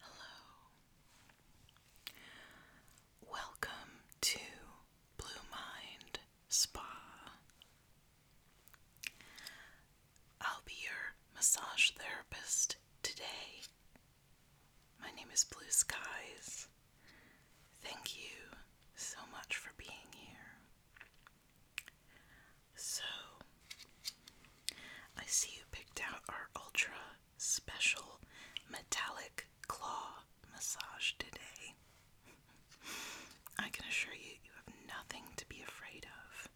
Hello. Welcome to Blue Mind Spa. I'll be your massage therapist today. My name is Blue Skies. Thank you so much for being here. So, I see you picked out our ultra special metallic claw massage today. I can assure you, you have nothing to be afraid of.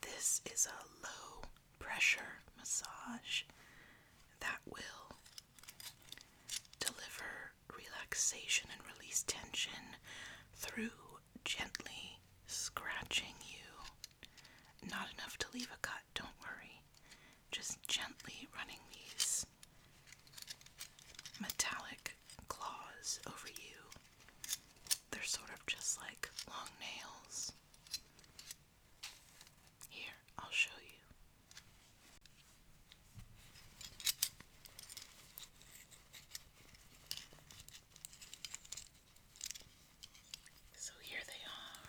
This is a low pressure massage that will deliver relaxation and release tension through gently scratching you. Not enough to leave a cut, don't worry. Just gently running these metallic claws over you. They're sort of just like long nails. Here, I'll show you. So here they are.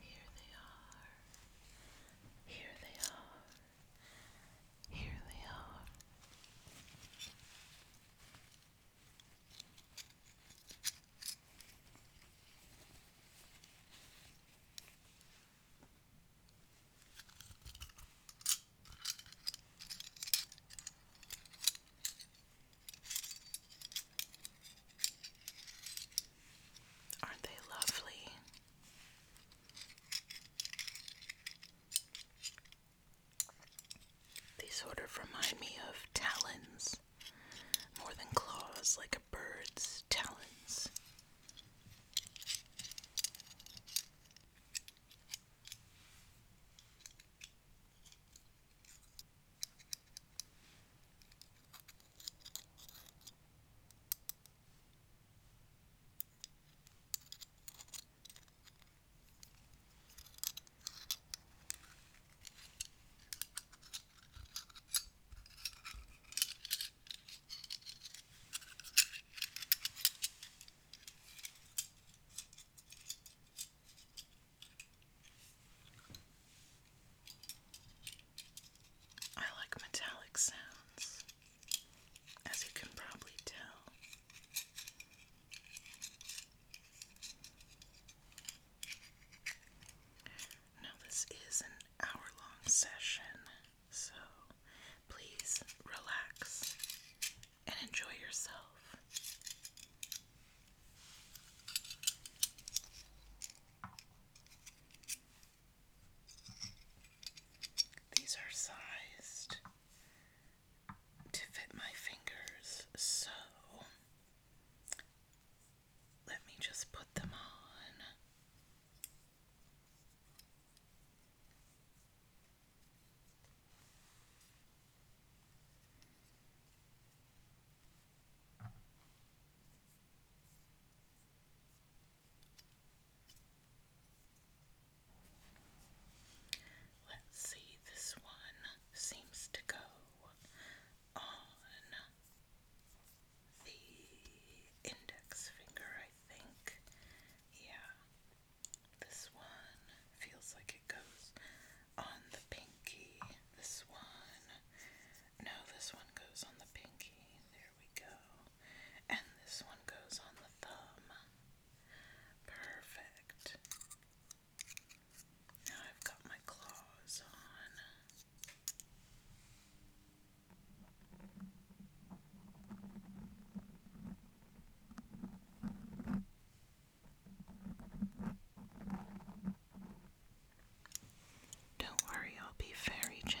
Here they are. Here they are. Here they are. Aren't they lovely? These sort of remind me of talons more than claws, like bird's talons. I like metallic sounds, as you can probably tell. Now, this is an hour long session, so please relax and enjoy yourself. These are sized to fit my fingers, so let me just put them on. Let's see, this one seems to go on the index finger, I think. Yeah. This one feels like it goes on the pinky. This one. No, this one goes on the pinky. There we go. And this one goes on the thumb. Perfect. Now I've got my claws on. Don't worry, I'll be very gentle.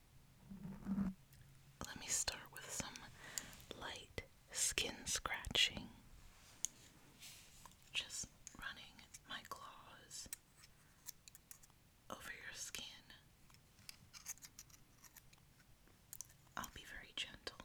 let me start with some light skin scratching. Just running my claws over your skin. I'll be very gentle.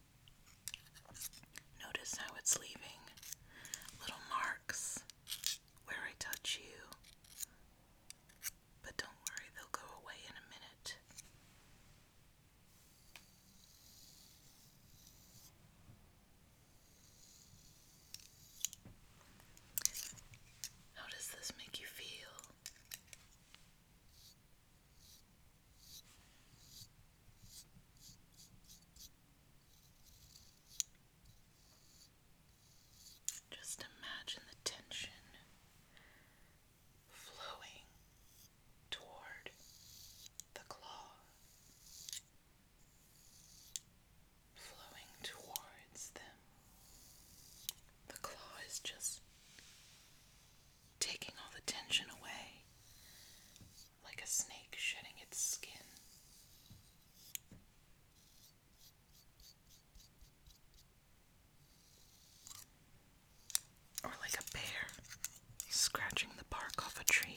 Notice how it's leaving little marks where I touch you. But don't worry, they'll go away in a minute. How does this make you feel? Just imagine the tension flowing toward the claw, flowing towards them. The claw is just taking all the tension away like a snake shedding its skin. Or like a bear scratching the bark off a tree.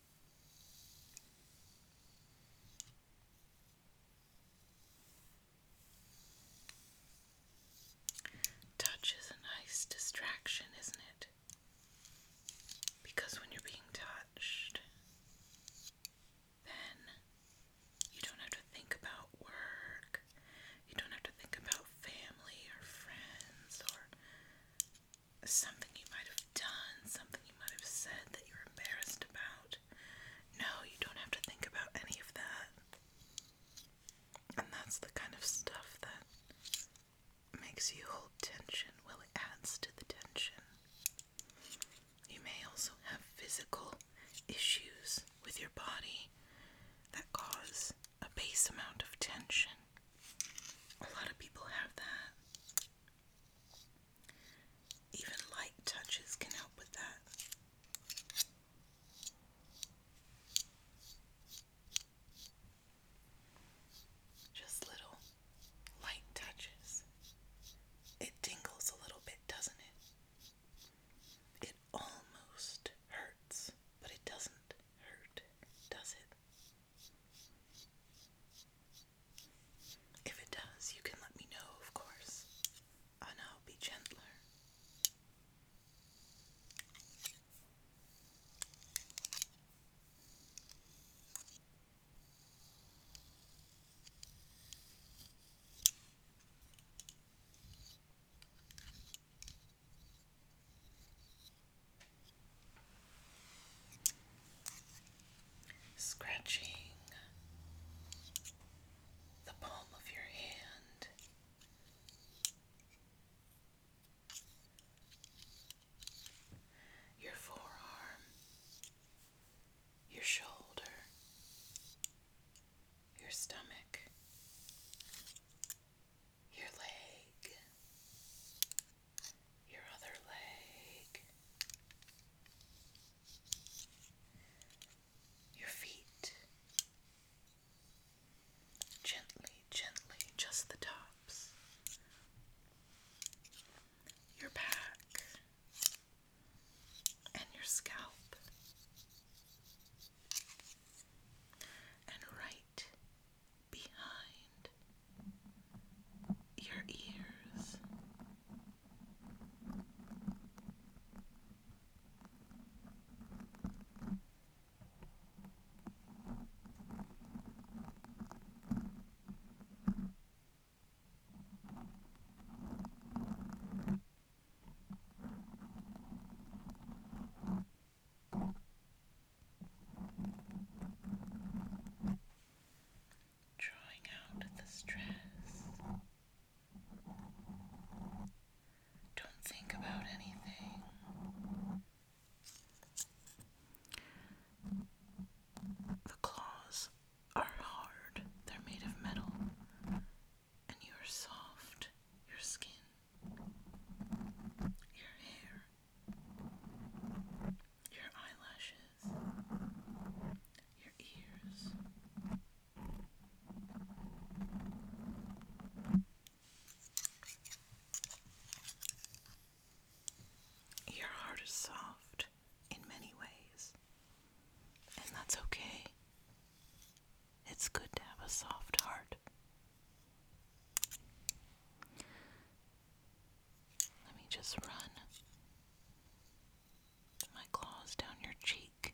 Touch is a nice distraction, isn't it? Because when you're being touched, then you don't have to think about work, you don't have to think about family or friends or something you might have done, something you might have said that you're embarrassed about. No, you don't have to think about any of that. And that's the kind of stuff that makes you hold tension. Well, it adds to the tension. You may also have physical issues with your body that cause a base amount of tension. A lot of people have that. Even light touches can help with that. Just little light touches. It tingles a little bit, doesn't it? It almost hurts, but it doesn't hurt, does it? If it does, you can let me know, of course, and i be gentler. Scratching the palm of your hand. Your forearm, your shoulder, your stomach, your leg, your other leg, your feet. Gently, gently, just the tops. Your back and your scalp, and right behind your ears drawing out the stress. Don't think about anything. The claws are hard, they're made of metal, and you are soft, your skin, your hair your eyelashes, your ears. Your heart is soft in many ways, and that's okay. It's good to have a soft heart. Let me just run my claws down your cheek.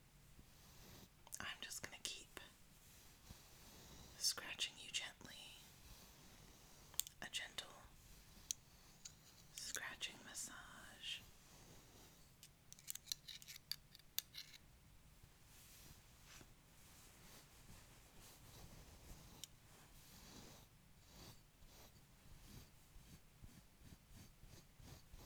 I'm just going to keep scratching you gently. A gentle scratching massage.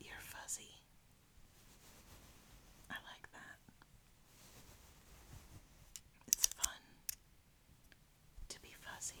You're fuzzy. I like that. It's fun to be fuzzy.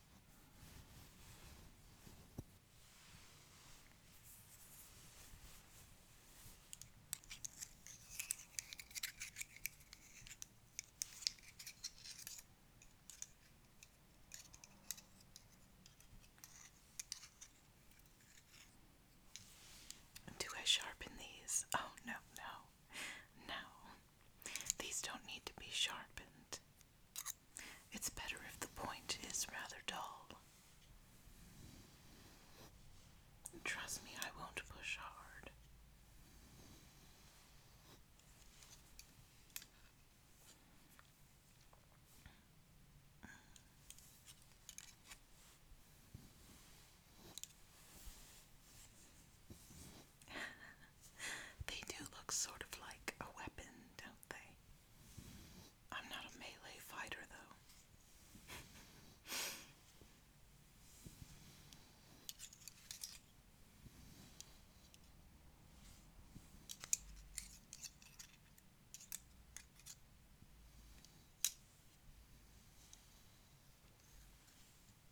Do I sharpen these? Oh, no, no, no. These don't need to be sharpened. It's better if the point is rather dull. Trust me, I won't push hard. they do look sort of like a weapon, don't they? I'm not a melee fighter, though.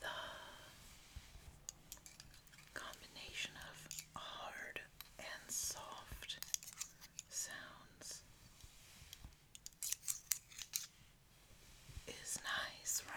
The combination of hard and soft sounds is nice, right?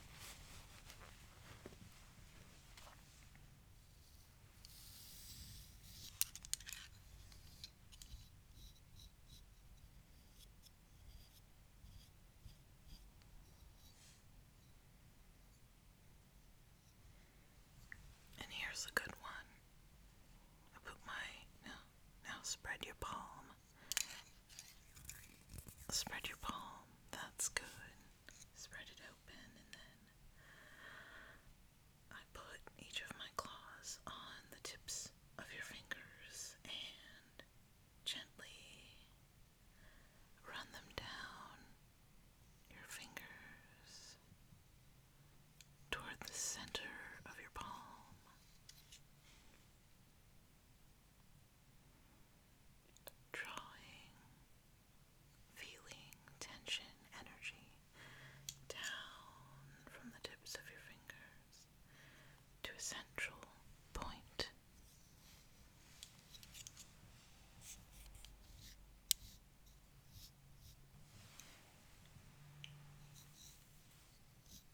And here's a good one. I put my now now spread your palm Spread your palm. That's good. Spread it open and then I put each of my claws on the tips of your fingers and gently run them down your fingers toward the center of your palm drawing, feeling tension, energy down from the tips of your fingers to a central point.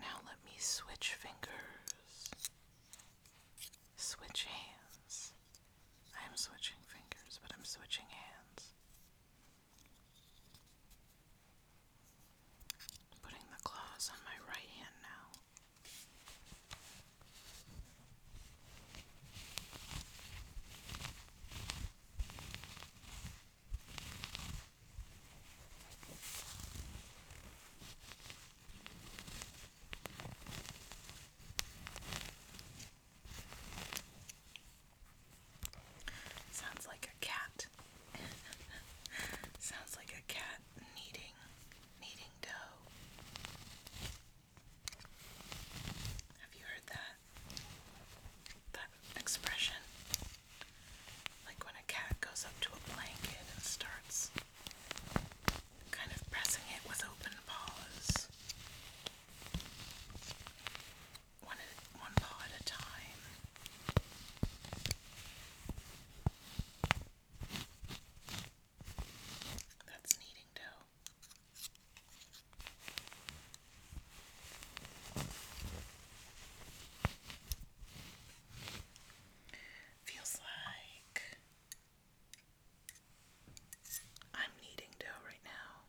Now let me switch fingers. Switch hands. I'm switching fingers, but I'm switching hands putting the claws on my right hand now. Sounds like a cat. Sounds like a cat kneading, kneading dough. Have you heard that? That expression? Like when a cat goes up to a blanket and starts kind of pressing it with open paws one, at, one paw at a time. That's kneading dough. Feels like I'm kneading dough right now.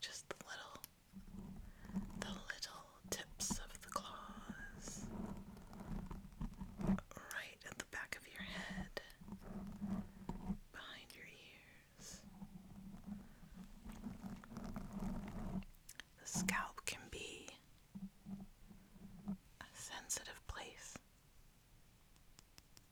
Just the little, the little tips of the claws right at the back of your head, behind your ears. The scalp can be a sensitive place.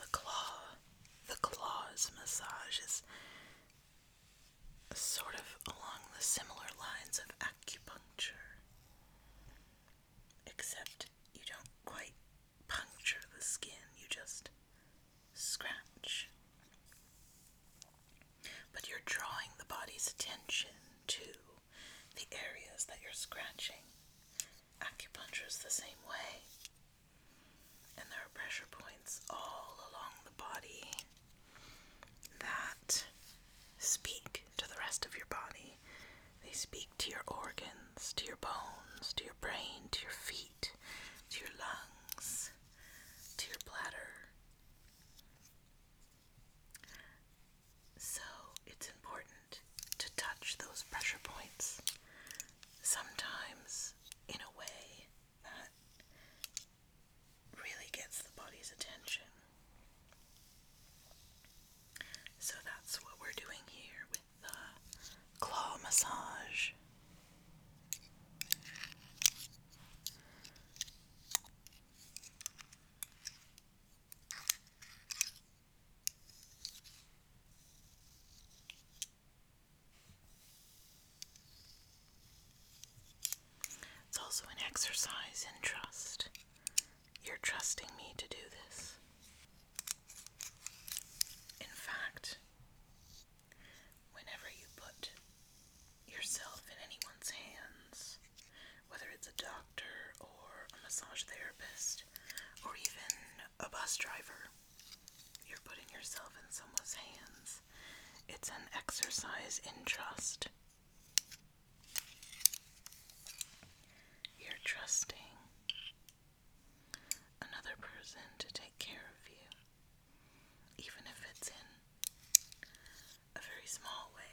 the claw, the claws massage is sort of along the similar lines of acupuncture, except you don't quite puncture the skin, you just scratch. But you're drawing the body's attention to the areas that you're scratching Acupuncture is the same way. And there are pressure points all along the body that speak to the rest of your body. They speak to your organs, to your bones, to your brain, to your feet, to your lungs, to your bladder. So it's important to touch those pressure points, sometimes in a way that really gets the body's attention. So that's what we're doing here with the claw massage. It's also an exercise in trust. You're trusting me to do this. In fact, whenever you put yourself in anyone's hands, whether it's a doctor or a massage therapist or even a bus driver, you're putting yourself in someone's hands. It's an exercise in trust. You're trusting another person to take care of you, even if it's in a very small way.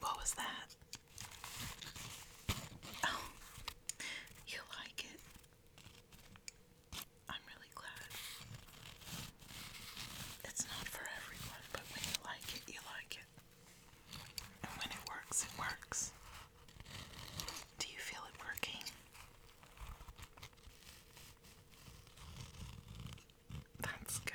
What was that? Oh, you like it? I'm really glad. It's not for everyone, but when you like it, you like it. And when it works, it works. Do you feel it working? That's good.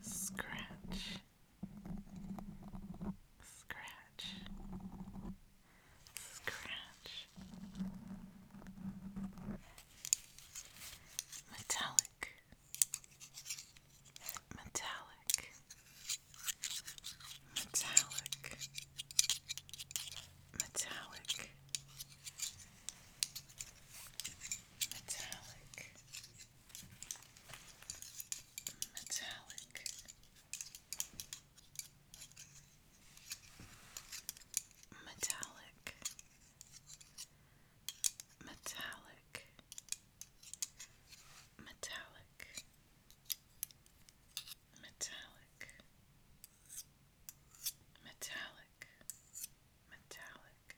Scratch, scratch, scratch, metallic, metallic, metallic, metallic, metallic, metallic. Metallic, metallic, metallic, metallic, metallic, metallic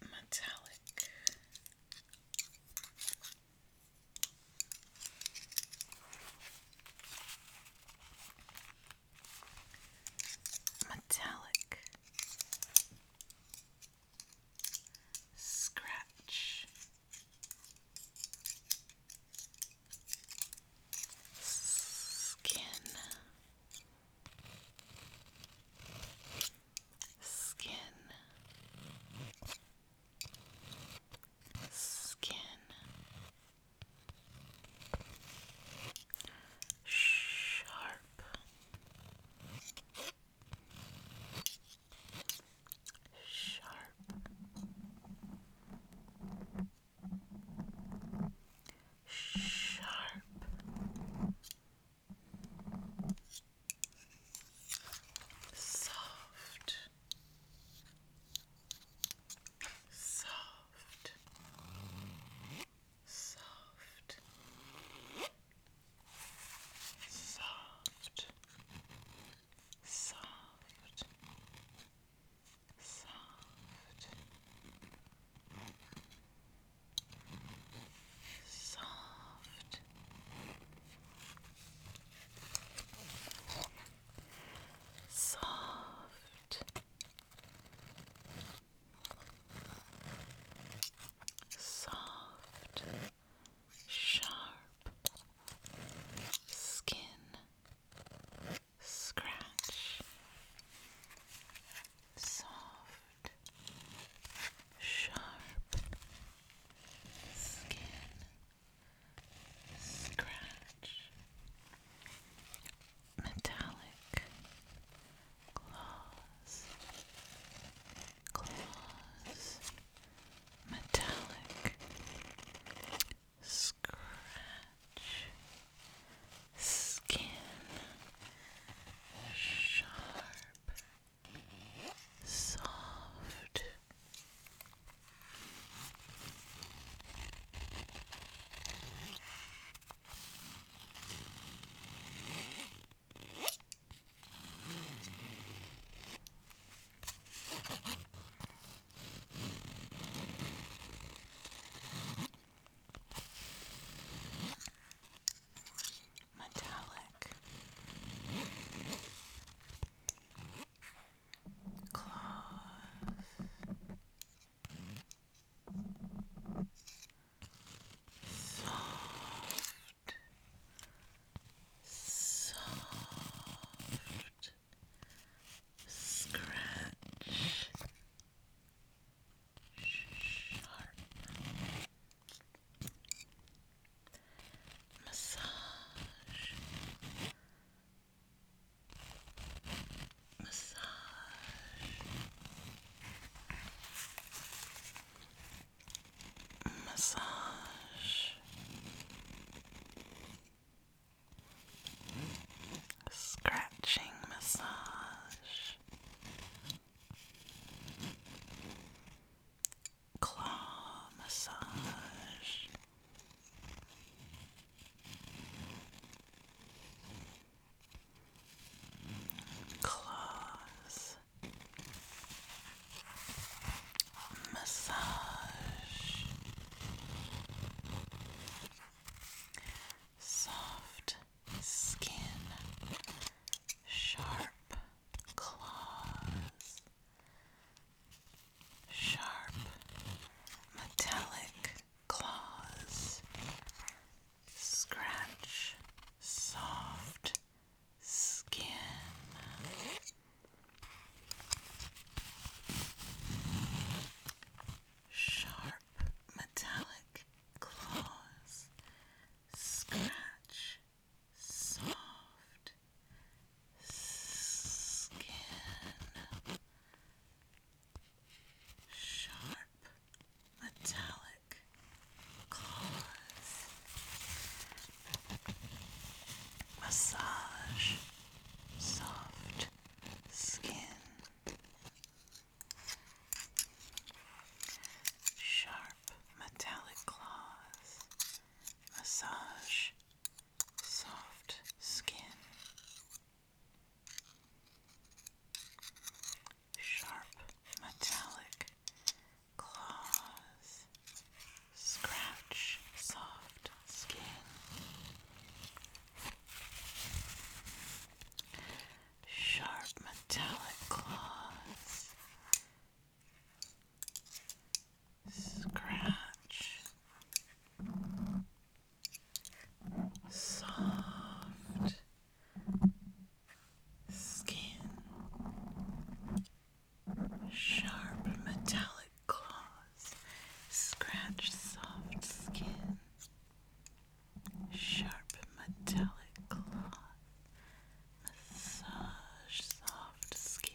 metallic. Metallic Scratch Skin. Skin. Skin. Sharp. Sharp. Sharp. Soft. Soft. Soft soft, soft, soft, soft. Soft, soft, sharp skin scratch, soft, sharp skin scratch, metallic claws. Claws, metallic scratch skin sharp soft Metallic cloth. Soft soft, scratch, sharp massage, massage massage. Scratching massage, claw massage, claws, massage, soft skin, sharp claws, sharp metallic claws, scratch soft skin. Sharp metallic claws scratch soft skin. Sharp metallic claws Massage soft skin. Sharp metallic claws. Massage soft skin. Sharp metallic claws, scratch soft skin. Sharp metallic claws. Scratch. Soft skin. Sharp metallic claws scratch soft skin. Sharp metallic claws massage soft skin.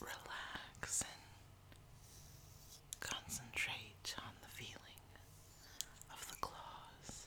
relax and concentrate on the feeling of the claws.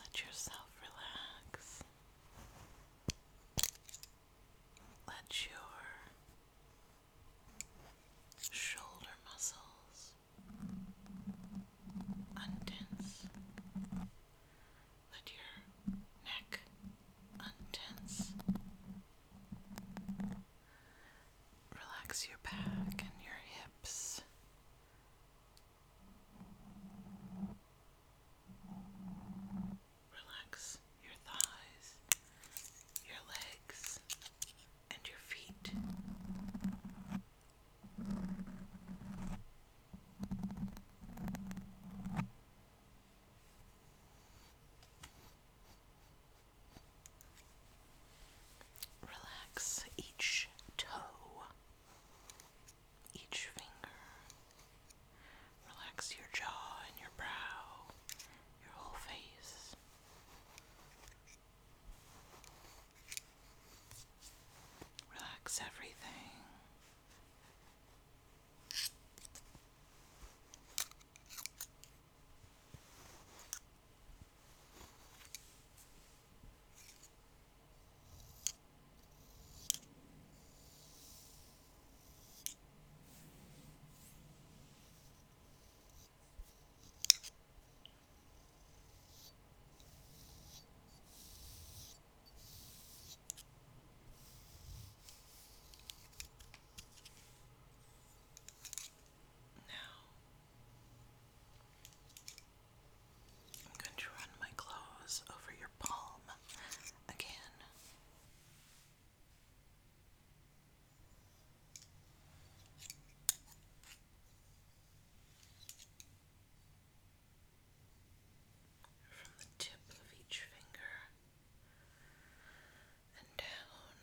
Let yourself relax. Let your shoulder muscles untense. Let your neck untense. Relax your back and your hips. Relax your thighs, your legs, and your feet. Relax each toe, each finger. Relax your jaw and your brow, your whole face. Relax everything. Now I'm going to run my clothes over your palm again from the tip of each finger and down.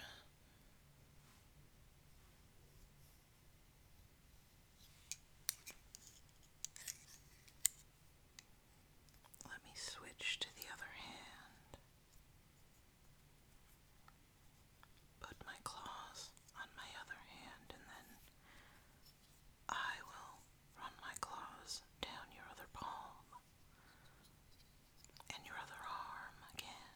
Let me switch to the other hand. Put my claws on my other hand and then I will run my claws down your other palm and your other arm again.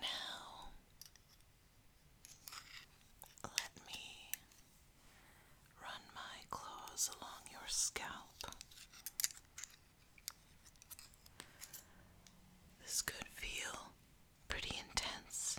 Now, let me run my claws along your scalp this could feel pretty intense.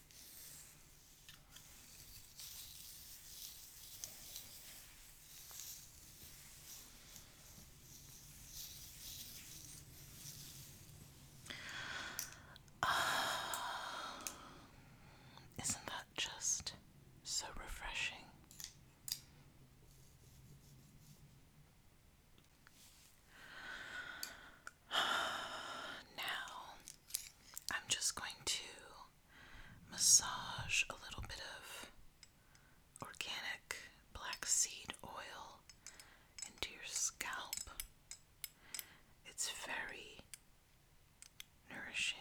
Uh, isn't that just so refreshing? Now, I'm just going to massage a little bit of organic black seed oil into your scalp. It's very nourishing.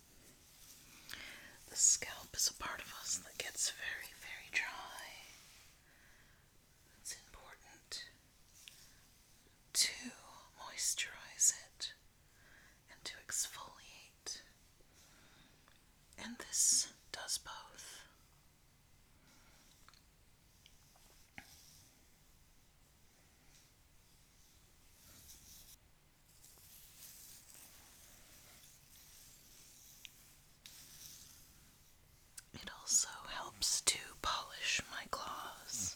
The scalp is a part of us that gets very, very dry. It's important to moisturize it and to exfoliate, and this does both. It also helps to polish my claws.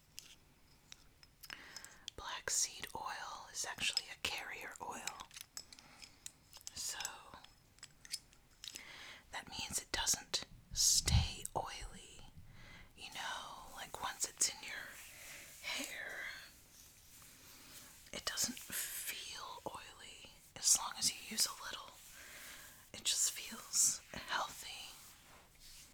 Black seed oil is actually a carrier oil. So that means it doesn't stay oily. You know, like once it's in your hair, it doesn't feel oily as long as you use a little. It just feels healthy.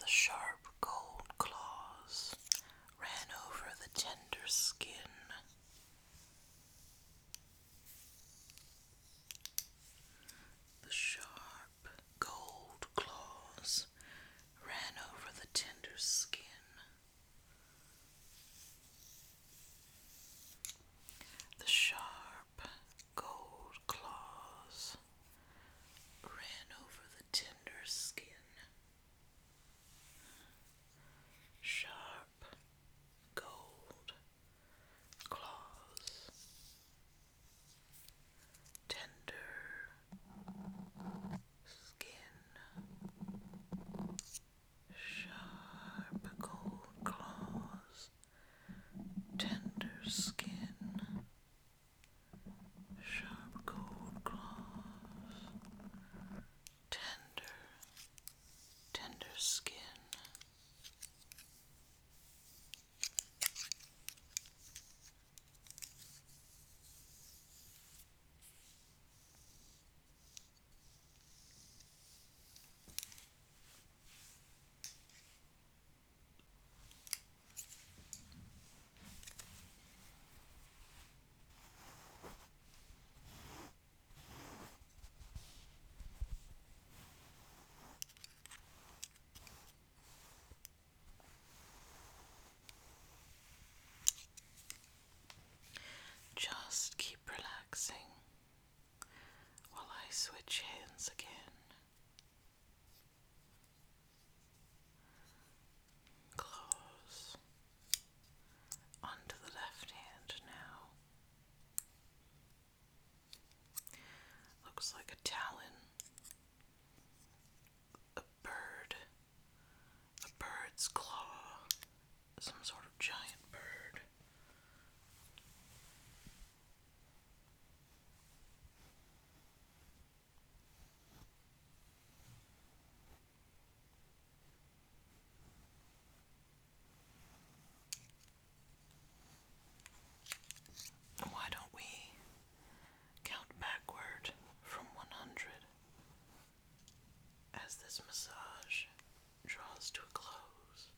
The sharp cold claws ran over the tender skin. The sharp gold claws ran over the tender skin. The sharp sharp gold claws ran over the tender skin. Sharp gold claws. Tender skin. Sharp gold claws tender skin, sharp gold claws, tender, tender skin. Just keep relaxing while I switch hands again. Claws onto the left hand now. Looks like a talon, a bird, a bird's claw, some sort of giant bird. Why don't we count backward from 100 as this massage draws to a close?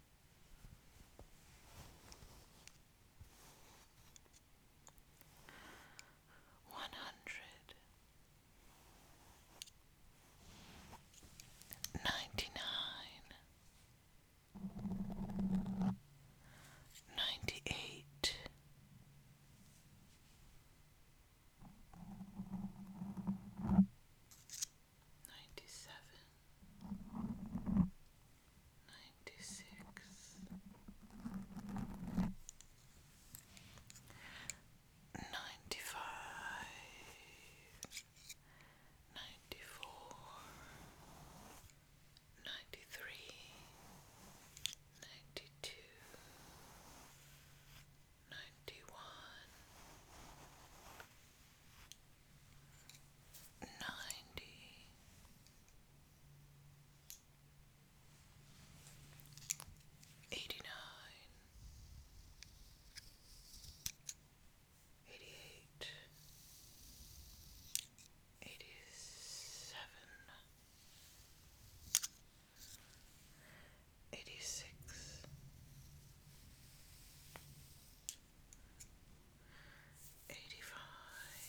One hundred ninety nine, ninety eight, ninety seven, ninety six, ninety five, ninety four, ninety three, ninety two, ninety one. 97 ninety eighty nine eighty eight eighty seven eighty six eighty-five,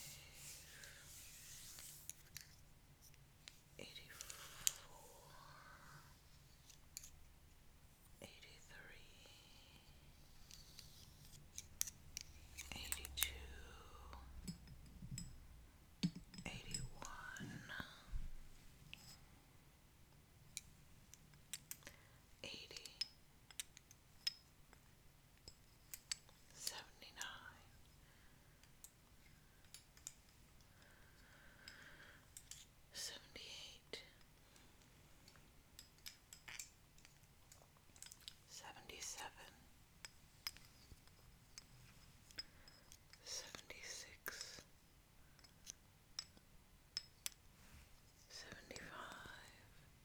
eighty-four, eighty-three, eighty-two, eighty-one seventy nine, seventy eight, seventy seven, seventy six.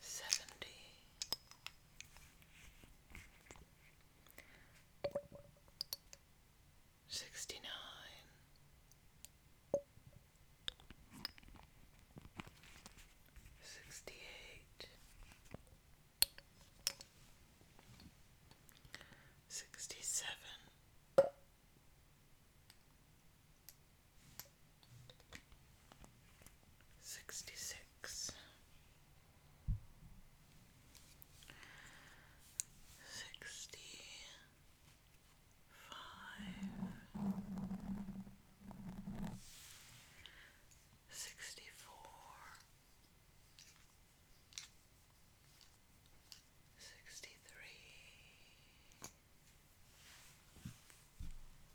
seventy sixty nine sixty eight sixty seven sixty six, sixty five, sixty four, sixty three.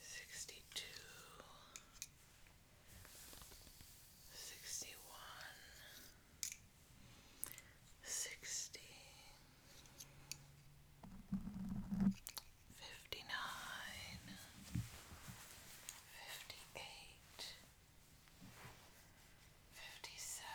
sixty-two, sixty-one, sixty, fifty-nine, fifty-eight, fifty-seven.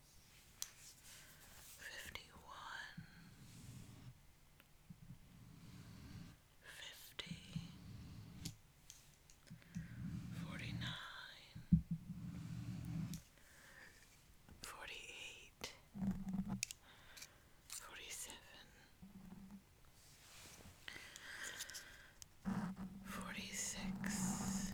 fifty one, fifty, forty nine, forty eight, forty seven. Forty six,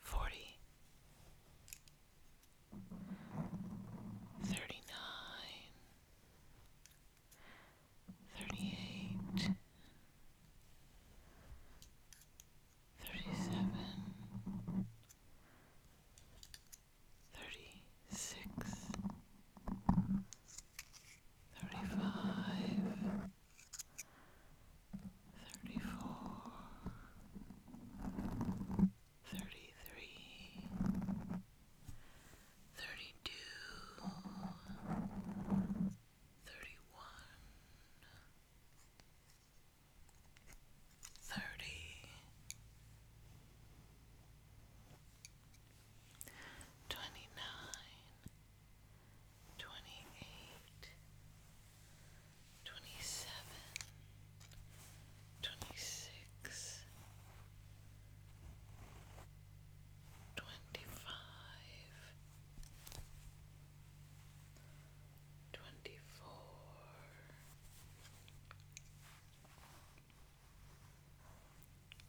forty, thirty nine, thirty eight, thirty seven, thirty six, thirty five. 35 thirty-four, thirty-three, thirty-two, thirty-one, thirty, twenty-nine, twenty-eight twenty-seven, twenty-six, twenty-five, twenty-four,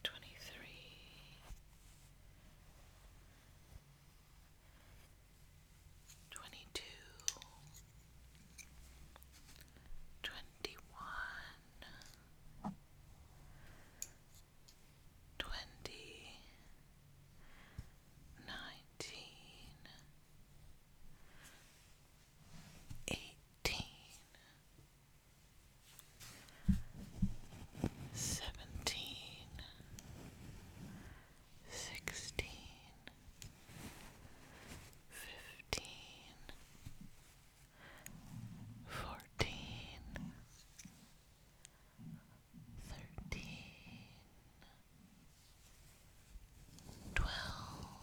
twenty-three twenty two, twenty one, twenty, nineteen, eighteen, seventeen sixteen, fifteen, fourteen, thirteen, twelve,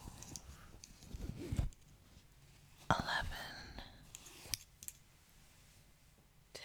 eleven, ten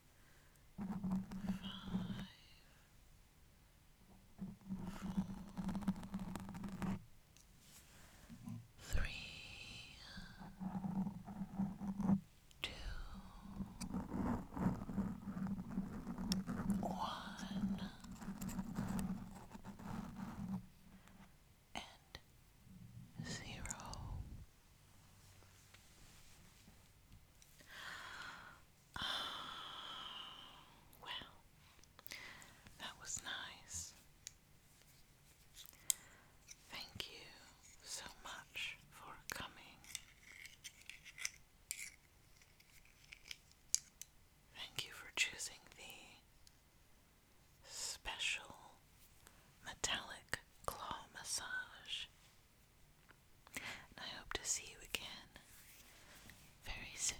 three, two, one, and zero. well, that was nice. Thank you so much for coming. Thank you for choosing the special metallic claw massage I hope to see you again very soon.